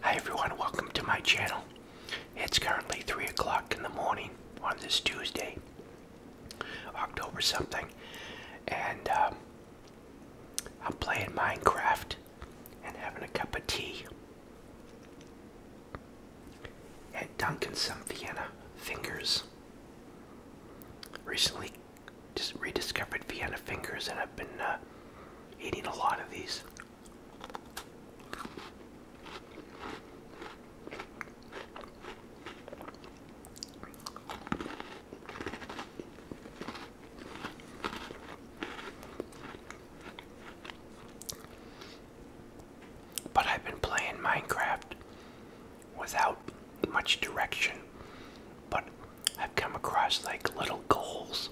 Hi everyone, welcome to my channel. It's currently 3 o'clock in the morning on this Tuesday, October something, and um, I'm playing Minecraft and having a cup of tea and dunking some Vienna fingers. Recently just rediscovered Vienna fingers and I've been uh, eating a lot of these. But I've been playing Minecraft without much direction, but I've come across like little goals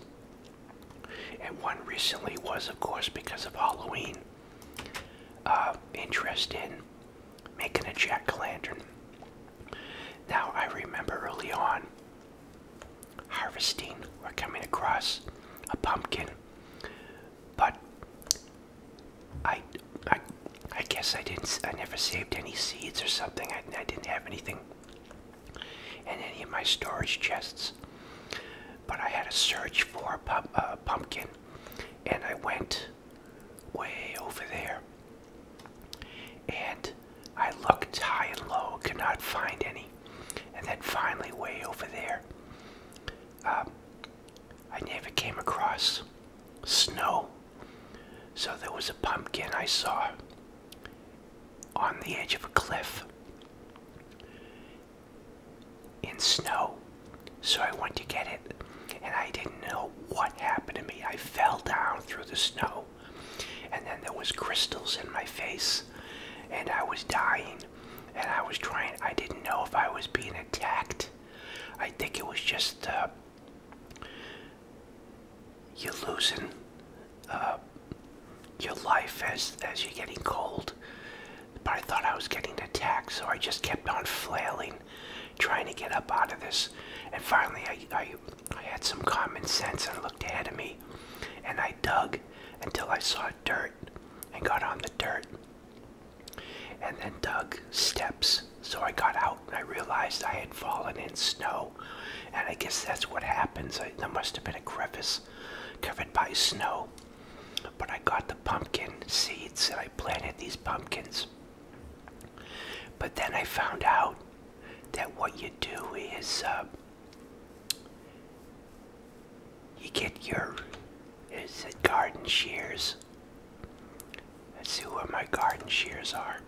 and one recently was, of course, because of Halloween, uh, interest in making a jack o' lantern. Now, I remember early on harvesting or coming across a pumpkin, but I, I, I guess I didn't. I never saved any seeds or something. I didn't have anything in any of my storage chests. But I had a search for a uh, pumpkin, and I went way over there. And I looked high and low, could not find any. And then finally, way over there, um, I never came across snow. So there was a pumpkin I saw on the edge of a cliff in snow. So I went to get it, and I didn't know what happened to me. I fell down through the snow, and then there was crystals in my face, and I was dying, and I was trying. I didn't know if I was being attacked. I think it was just the you're losing uh, your life as as you're getting cold. But I thought I was getting attacked, so I just kept on flailing, trying to get up out of this. And finally, I, I, I had some common sense and looked ahead of me, and I dug until I saw dirt and got on the dirt and then dug steps. So I got out and I realized I had fallen in snow and I guess that's what happens. there must have been a crevice covered by snow. But I got the pumpkin seeds and I planted these pumpkins. But then I found out that what you do is uh, you get your garden shears. Let's see where my garden shears are.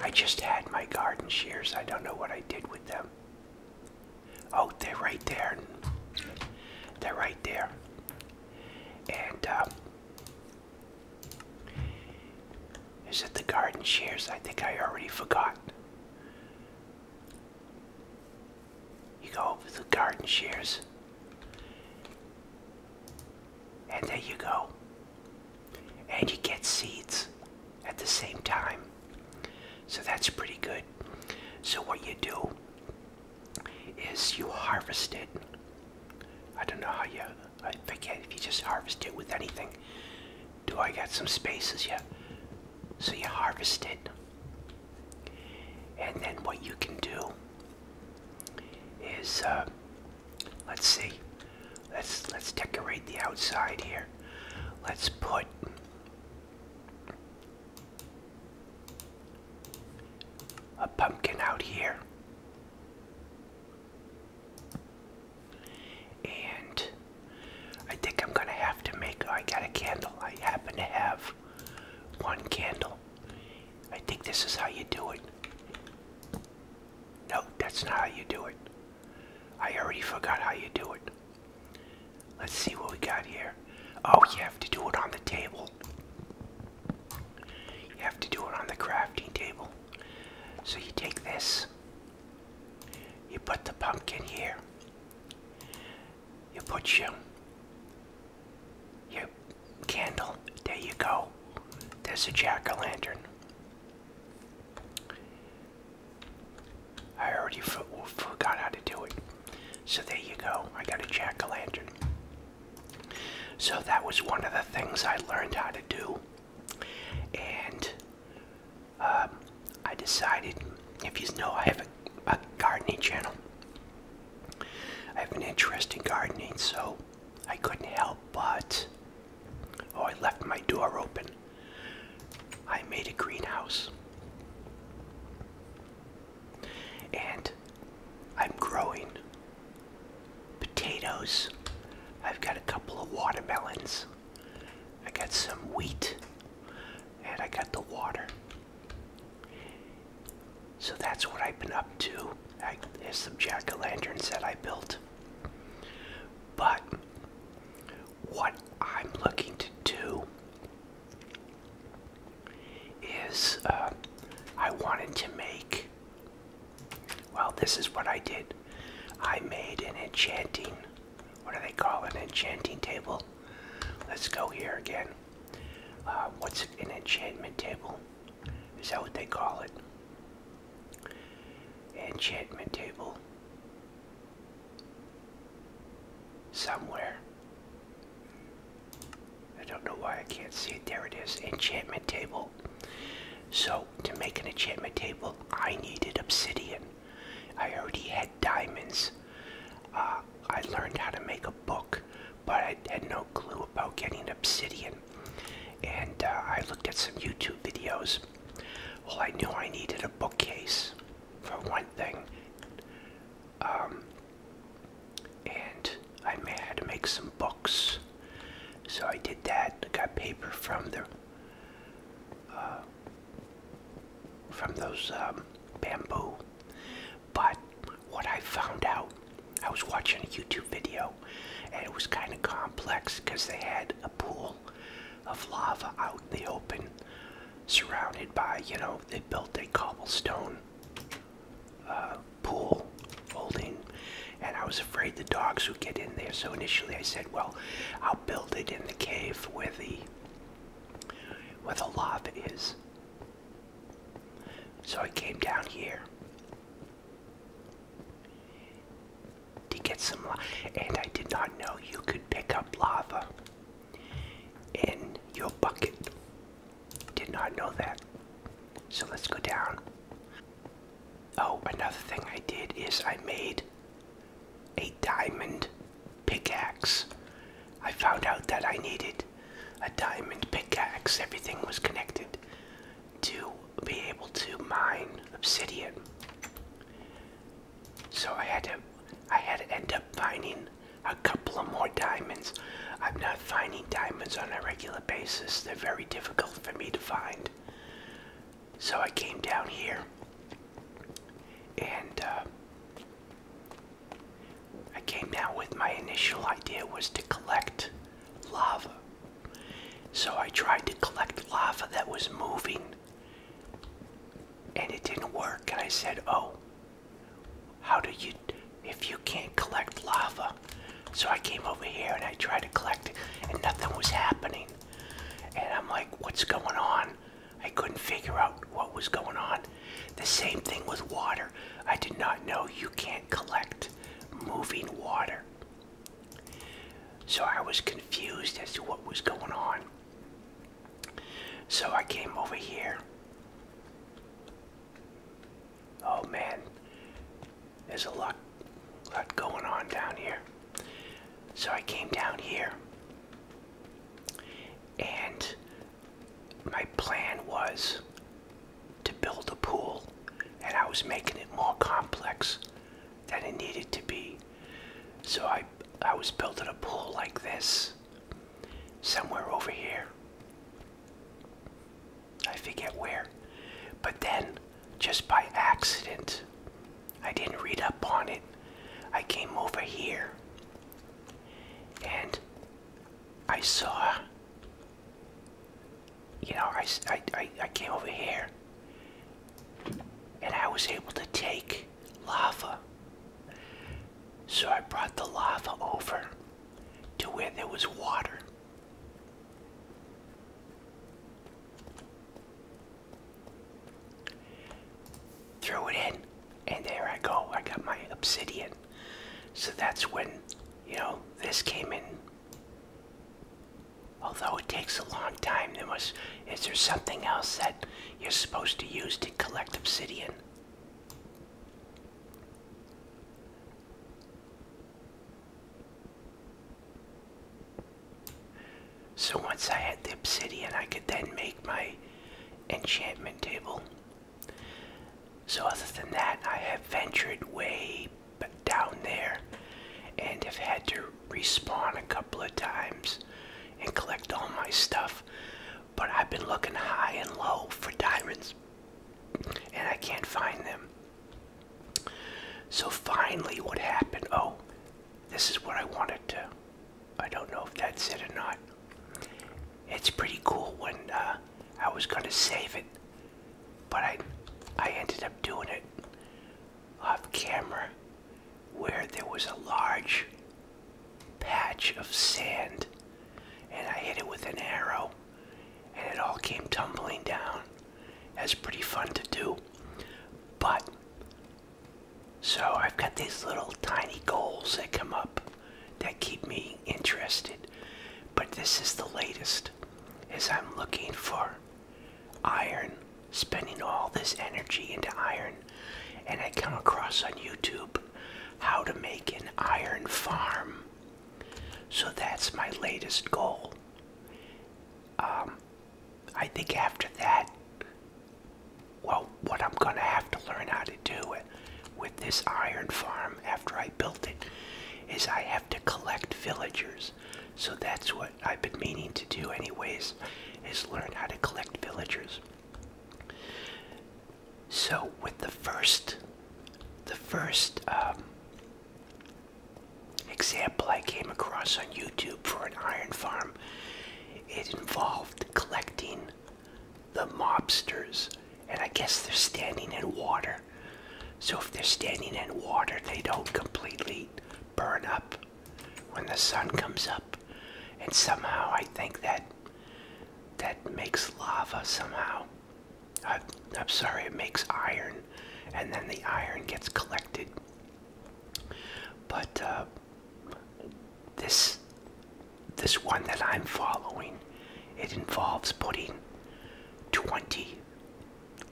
I just had my garden shears. I don't know what I did with them. Oh, they're right there. They're right there. And, um, is it the garden shears? I think I already forgot. You go over the garden shears. And there you go. And you get seeds at the same time. So that's pretty good. So what you do is you harvest it. I don't know how you, I forget if you just harvest it with anything. Do I got some spaces? yet? So you harvest it. And then what you can do is uh, Let's see. Let's let's decorate the outside here. Let's put a pumpkin out here. And I think I'm gonna have to make oh, I got a candle. I happen to have one candle. I think this is how you do it. No, that's not how you do it. I already forgot how you do it. Let's see what we got here. Oh, you have to do it on the table. You have to do it on the crafting table. So you take this, you put the pumpkin here, you put your, your candle, there you go. There's a jack-o'-lantern. I already forgot how to do it. So there you go. I got a jack o' lantern. So that was one of the things I learned how to do. And um, I decided, if you know, I have a gardening channel. I have an interest in gardening, so I couldn't help but Oh, I left my door open. I made a greenhouse. And I'm growing potatoes. I've got a couple of watermelons. I got some wheat. And I got the water. So that's what I've been up to. I, there's some jack-o'-lanterns that I built. But what I'm looking to do is uh, I wanted to make, well, this is what I did. I made an enchanting, what do they call an enchanting table? Let's go here again. Uh, what's an enchantment table? Is that what they call it? enchantment table somewhere. I don't know why I can't see it. There it is, enchantment table. So, to make an enchantment table, I needed obsidian. I already had diamonds. Uh, I learned how to make a book, but I had no clue about getting obsidian and uh, I looked at some YouTube videos. Well, I knew I needed a bookcase for one thing, um, and I had to make some books. So I did that. I got paper from the uh, from those um, bamboo. But what I found out, I was watching a YouTube video and it was kind of complex because they had a pool of lava out in the open, surrounded by, you know, they built a cobblestone uh, pool holding. And I was afraid the dogs would get in there. So initially I said, well, I'll build it in the cave where the, where the lava is. So I came down here to get some lava. And I did not know you could pick up lava in your bucket. Did not know that. So let's go down. Oh, another thing I did is I made a diamond pickaxe. I found out that I needed a diamond pickaxe. Everything was connected to be able to mine obsidian. So I had to I had to end up finding a couple of more diamonds. I'm not finding diamonds on a regular basis. They're very difficult for me to find. So I came down here and uh, I came down with my initial idea was to collect lava so I tried to collect lava that was moving and it didn't work. And I said, Oh, how do you, if you can't collect lava? So I came over here and I tried to collect it and nothing was happening. And I'm like, What's going on? I couldn't figure out what was going on. The same thing with water. I did not know you can't collect moving water. So I was confused as to what was going on. So I came over here. Oh man, there's a lot, lot going on down here. So I came down here, and my plan was to build a pool, and I was making it more complex that it needed to be. So I, I was building a pool like this somewhere over here. I forget where. But then, just by accident, I didn't read up on it. I came over here and I saw you know, I, I, I came over here and I was able to take lava. So I brought the lava over to where there was water. Throw it in, and there I go. I got my obsidian. So that's when, you know, this came in Although it takes a long time, there was is there something else that you're supposed to use to collect obsidian? So once I had the obsidian, I could then make my enchantment table. So other than that, I have ventured way way down there and have had to respawn a couple of times and collect all my stuff. But I've been looking high and low for diamonds and I can't find them. So finally, what happened? Oh, this is what I wanted to. I don't know if that's it or not. It's pretty cool when uh, I was going to save it, but I, I ended up doing it off camera where there was a large patch of sand and I hit it with an arrow and it all came tumbling down. That's pretty fun to do. But so I've got these little tiny goals that come up that keep me interested. But this is the latest as I'm looking for iron, spending all this energy into iron, and I come across on YouTube how to make an iron farm. So that's my latest goal. Um, I think after that, well, what I'm going to have to learn how to do with this iron farm after I built it is I have to collect villagers so that's what I've been meaning to do anyways, is learn how to collect villagers. So with the first, the first um, example I came across on YouTube for an iron farm, it involved collecting the mobsters, and I guess they're standing in water. So if they're standing in water, they don't completely burn up when the sun comes up. And somehow I think that that makes lava somehow. I, am sorry, it makes iron. And then the iron gets collected. But uh, this, this one that I'm following, it involves putting 20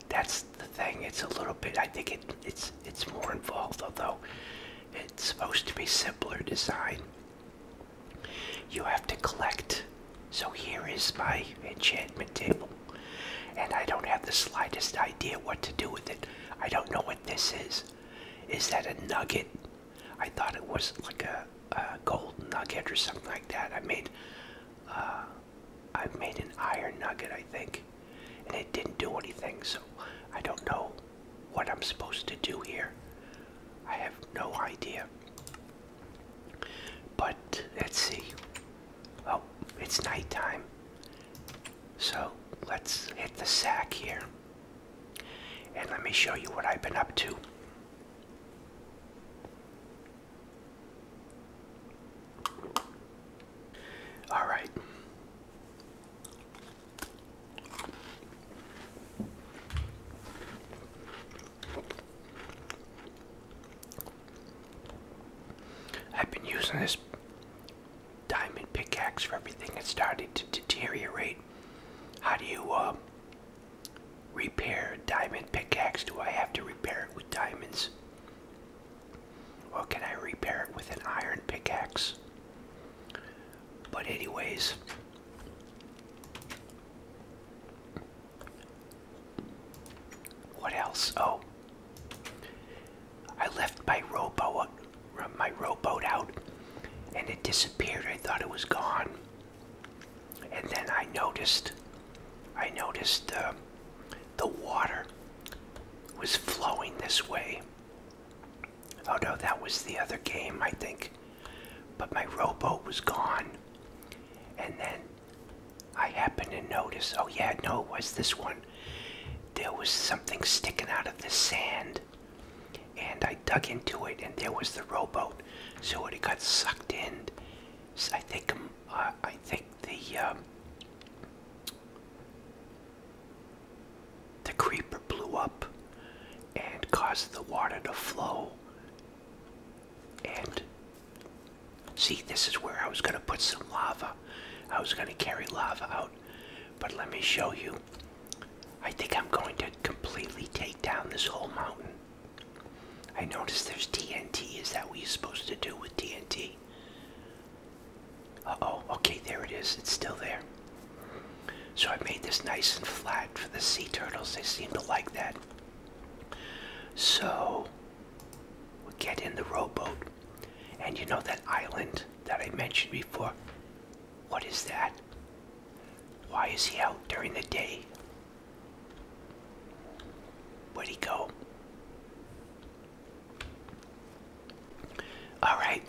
that's the thing. It's a little bit. I think it, it's it's more involved, although it's supposed to be simpler design. You have to collect. So here is my enchantment table, and I don't have the slightest idea what to do with it. I don't know what this is. Is that a nugget? I thought it was like a, gold nugget or something like that. I made uh, I've made an iron nugget, I think, and it didn't do anything, so I don't know what I'm supposed to do here. I have no idea. But let's see. Oh, it's nighttime. So let's hit the sack here. And let me show you what I've been up to. All right. I've been using this diamond pickaxe for everything. It started to deteriorate. How do you uh, repair diamond pickaxe? Do I have to repair it with diamonds? Well, can I repair it with an iron pickaxe? But anyways, what else? Oh, I left my rowboat, my rowboat out, and it disappeared. I thought it was gone, and then I noticed I noticed uh, the water was flowing this way. Oh no, that was the other game, I think. But my rowboat was gone. And then I happened to notice oh, yeah, no, it was this one. There was something sticking out of the sand. And I dug into it, and there was the rowboat. So it got sucked in. I think, um, uh, I think the um, the creeper blew up and caused the water to flow. And see, this is where I was going to put some lava. I was going to carry lava out. But let me show you. I think I'm going to completely take down this whole mountain. I notice there's TNT. Is that what you're supposed to do with TNT? Uh oh, okay, there it is. It's still there. So I made this nice and flat for the sea turtles. They seem to like that. So we'll get in the rowboat. And you know that island that I mentioned before? What is that? Why is he out during the day? Where'd he go? All right.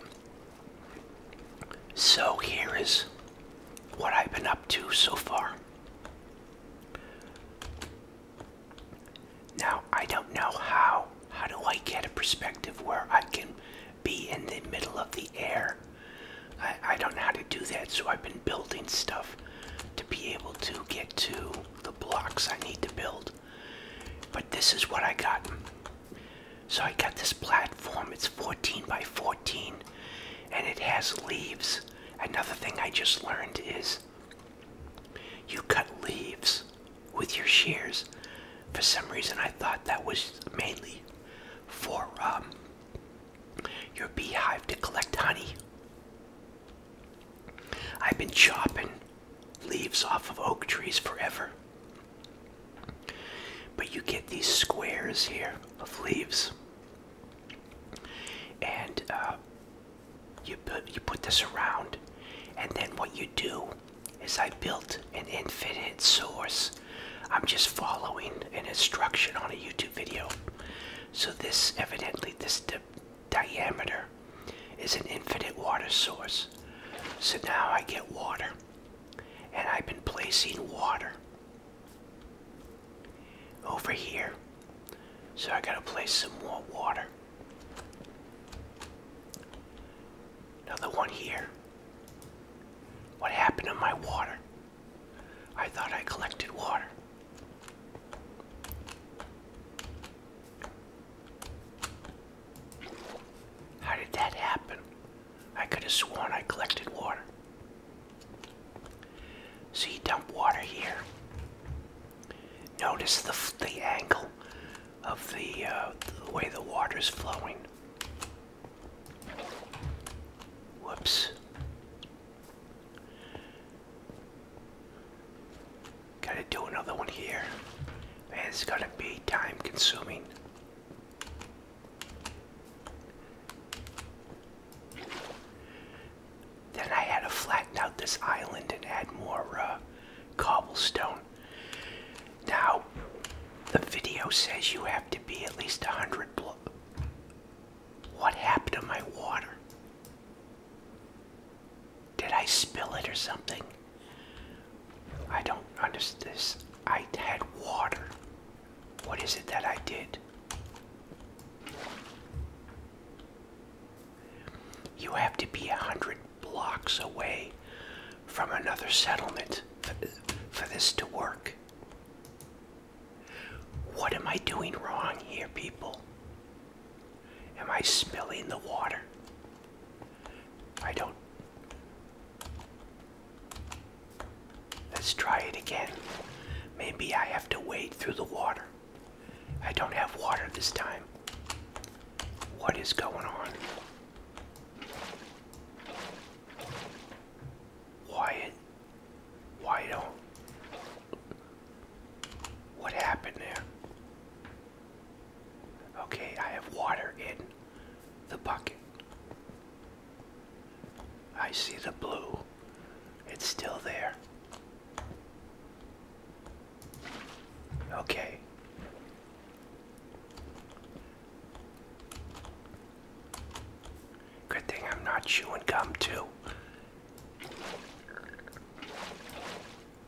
So here is what I've been up to so far. Now, I don't know how. How do I get a perspective where I can be in the middle of the air? I, I don't know how to do that, so I've been building stuff to be able to get to the blocks I need to build. But this is what I got. So I got this platform. It's 14 by 14 and it has leaves. Another thing I just learned is you cut leaves with your shears. For some reason, I thought that was mainly for um, your beehive to collect honey. I've been chopping leaves off of oak trees forever. But you get these squares here of leaves. And uh, you, put, you put this around. And then what you do is I built an infinite source. I'm just following an instruction on a YouTube video. So this evidently this diameter is an infinite water source. So now I get water. And I've been placing water over here. So I gotta place some more water. Another one here. What happened to my water? I thought I collected water. How did that happen? I could have sworn I collected water. So you dump water here. Notice the, the angle of the, uh, the way the water is flowing. Whoops. Gotta do another one here. Man, it's gonna be time consuming. Then I had to flatten out this island and add more uh, cobblestone. Now, the video says you have to be at least 100 What happened to my water? Did I spill it or something? I don't understand this. I had water. What is it that I did? You have to be a hundred blocks away from another settlement uh, for this to work. What am I doing wrong here, people? Am I spilling the water? I don't. Let's try it again. Maybe I have to wade through the water. I don't have water this time. What is going on? Why? Why don't? What happened there? Okay, I have water in the bucket. I see the blue. It's still there. Okay. Good thing I'm not chewing gum, too.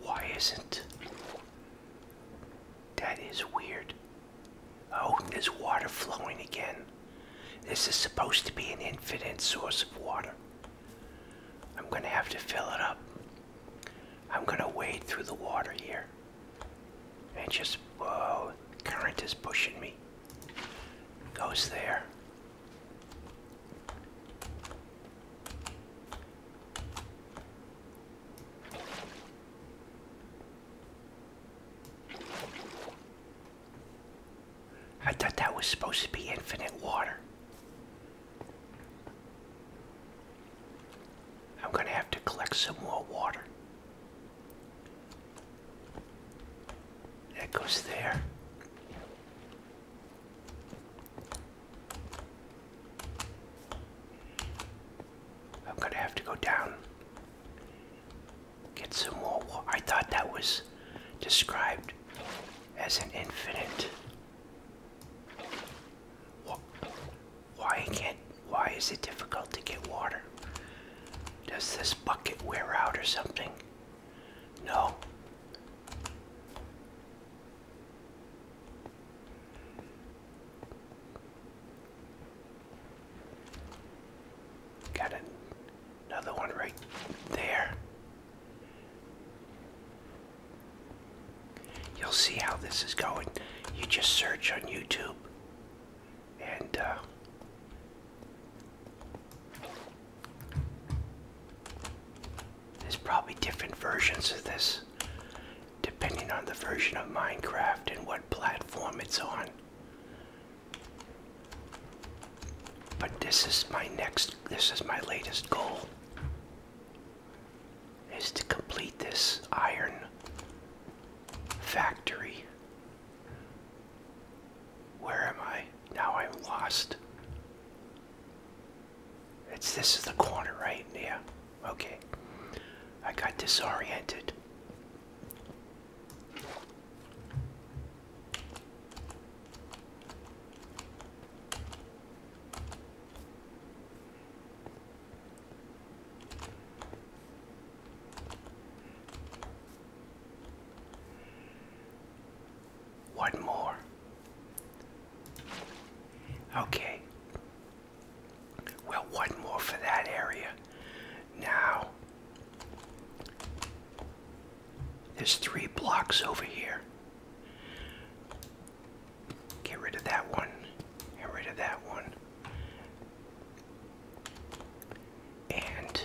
Why isn't? That is weird. Oh, there's water flowing again. This is supposed to be an infinite source of water. I'm going to have to fill it up. I'm going to wade through the water here. And just, whoa, current is pushing me. Goes there. I thought that was supposed to be infinite water. I'm going to have to collect some more water. That goes there. I'm gonna have to go down. Get some more wa I thought that was described as an infinite. Why can't why is it difficult to get water? Does this bucket wear out or something? No. Got an, another one right there. You'll see how this is going. You just search on YouTube and uh, there's probably different versions of this depending on the version of Minecraft and what platform it's on. But this is my next, this is my latest goal is to complete this iron factory. Where am I? Now I'm lost. It's this is the corner, right? Yeah. Okay. I got disoriented. One more. Okay. Well, one more for that area. Now, there's three blocks over here. Get rid of that one. Get rid of that one. And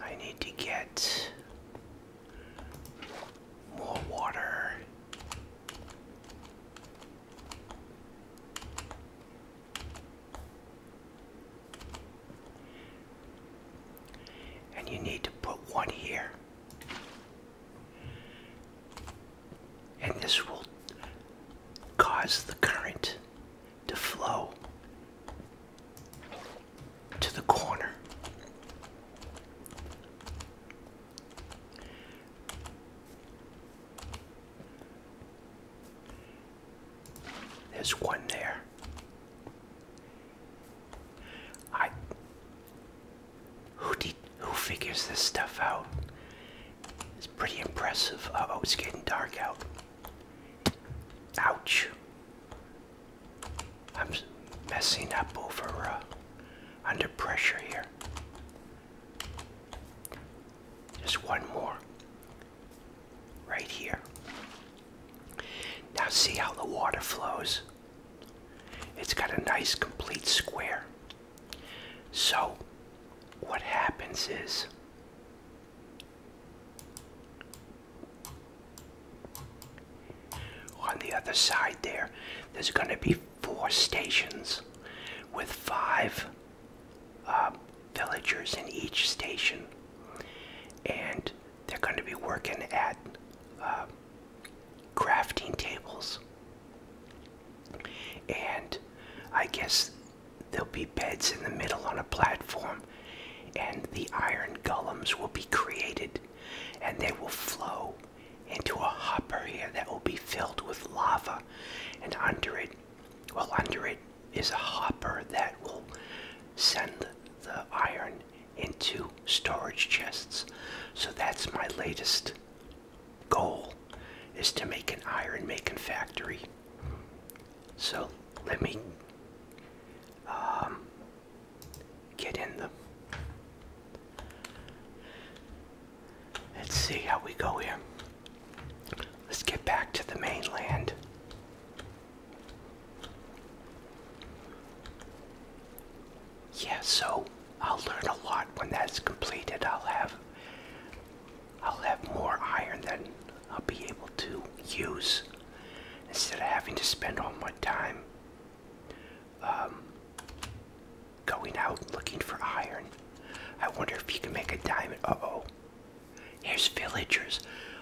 I need to get more water. And you need to put one here. And this will cause the current to flow to the corner. There's one there. I who did who figures this stuff out? It's pretty impressive. oh, it's getting dark out. Ouch. I'm messing up over uh, under pressure here. Just one more. Right here. Now see how the water flows? It's got a nice complete square. So what happens is on the other side there, there's going to be four stations with five uh, villagers in each station. And they're going to be working at uh, crafting tables. And I guess there'll be beds in the middle on a platform, and the iron gullums will be created and they will flow into a hopper here that will be filled with lava and under it well under it is a hopper that will send the iron into storage chests so that's my latest goal is to make an iron making factory so let me um, get in them. Let's see how we go here. Let's get back to the mainland. Yeah, so I'll learn a lot when that's completed. I'll have I'll have more iron than I'll be able to use instead of having to spend all my time um, going out looking for iron. I wonder if you can make a diamond. Uh oh. Here's villagers.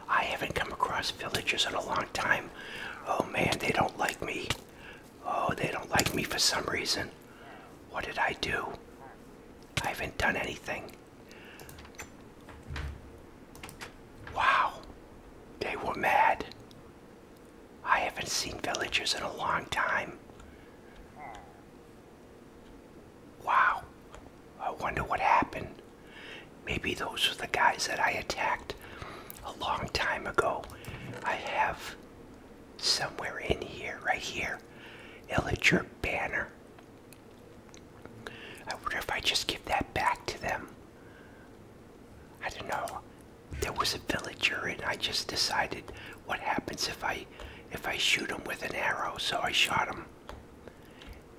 I haven't come across villagers in a long time. Oh man, they don't like me. Oh, they don't like me for some reason. What did I do? I haven't done anything. Wow. They were mad. I haven't seen villagers in a long time. Wow. I wonder what happened. Maybe those were the guys that I attacked a long time ago. I have somewhere in here, right here, Illager banner. I wonder if I just give that back to them. I don't know there was a villager and I just decided what happens if I if I shoot him with an arrow so I shot him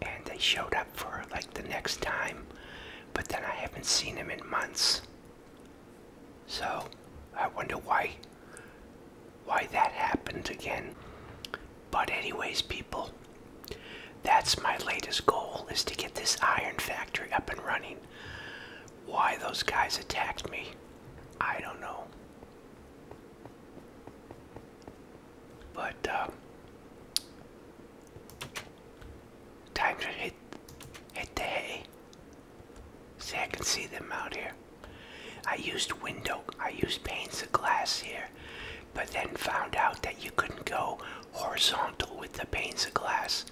and they showed up for like the next time but then I haven't seen him in months so I wonder why why that happened again but anyways people that's my latest goal is to get this iron factory up and running. Why those guys attacked me, I don't know. But uh, time to hit hit the hay. See, I can see them out here. I used window, I used panes of glass here, but then found out that you couldn't go horizontal with the panes of glass,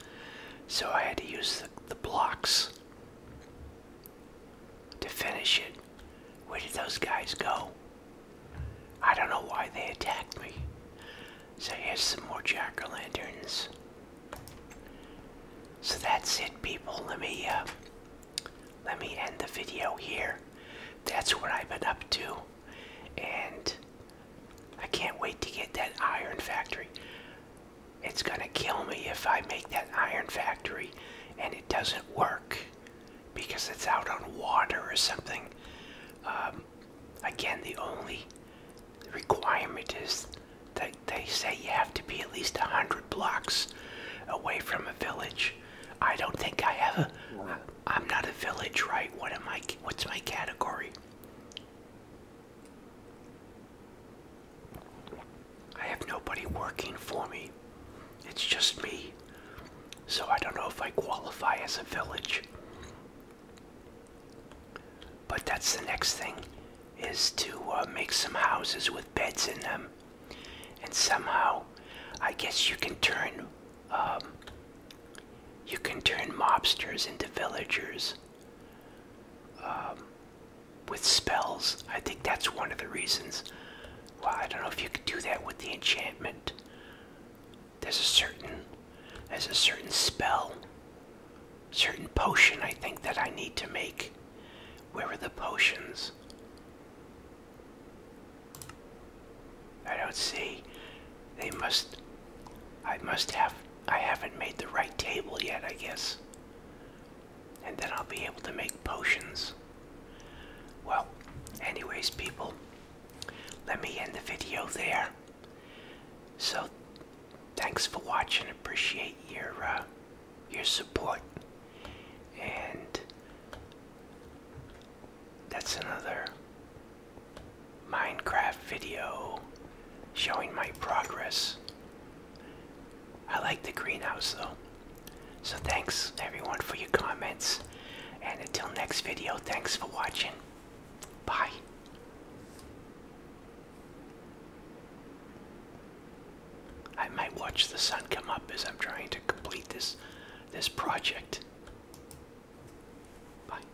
so I had to use the, blocks to finish it. Where did those guys go? I don't know why they attacked me. So here's some more jack-o'-lanterns. So that's it, people. Let me uh, let me end the video here. That's what I've been up to and I can't wait to get that iron factory. It's gonna kill me if I make that iron factory and it doesn't work because it's out on water or something. Um, again, the only requirement is that they say you have to be at least 100 blocks away from a village. I don't think I have a. I'm not a village, right? What am I? What's my category? I have nobody working for me. It's just me. So I don't know if I qualify as a village. But that's the next thing is to uh, make some houses with beds in them. And somehow, I guess you can turn um, you can turn mobsters into villagers. Um, with spells. I think that's one of the reasons. Well, I don't know if you could do that with the enchantment. There's a certain, there's a certain spell, certain potion I think that I need to make. Where are the potions? I don't see. They must. I must have. I haven't made the right table yet, I guess. And then I'll be able to make potions. Well, anyways, people, let me end the video there. So, thanks for watching. Appreciate your uh, your support. And that's another Minecraft video showing my progress. I like the greenhouse though. So thanks everyone for your comments. And until next video, thanks for watching. Bye. I might watch the sun come up as I'm trying to complete this this project. Bye.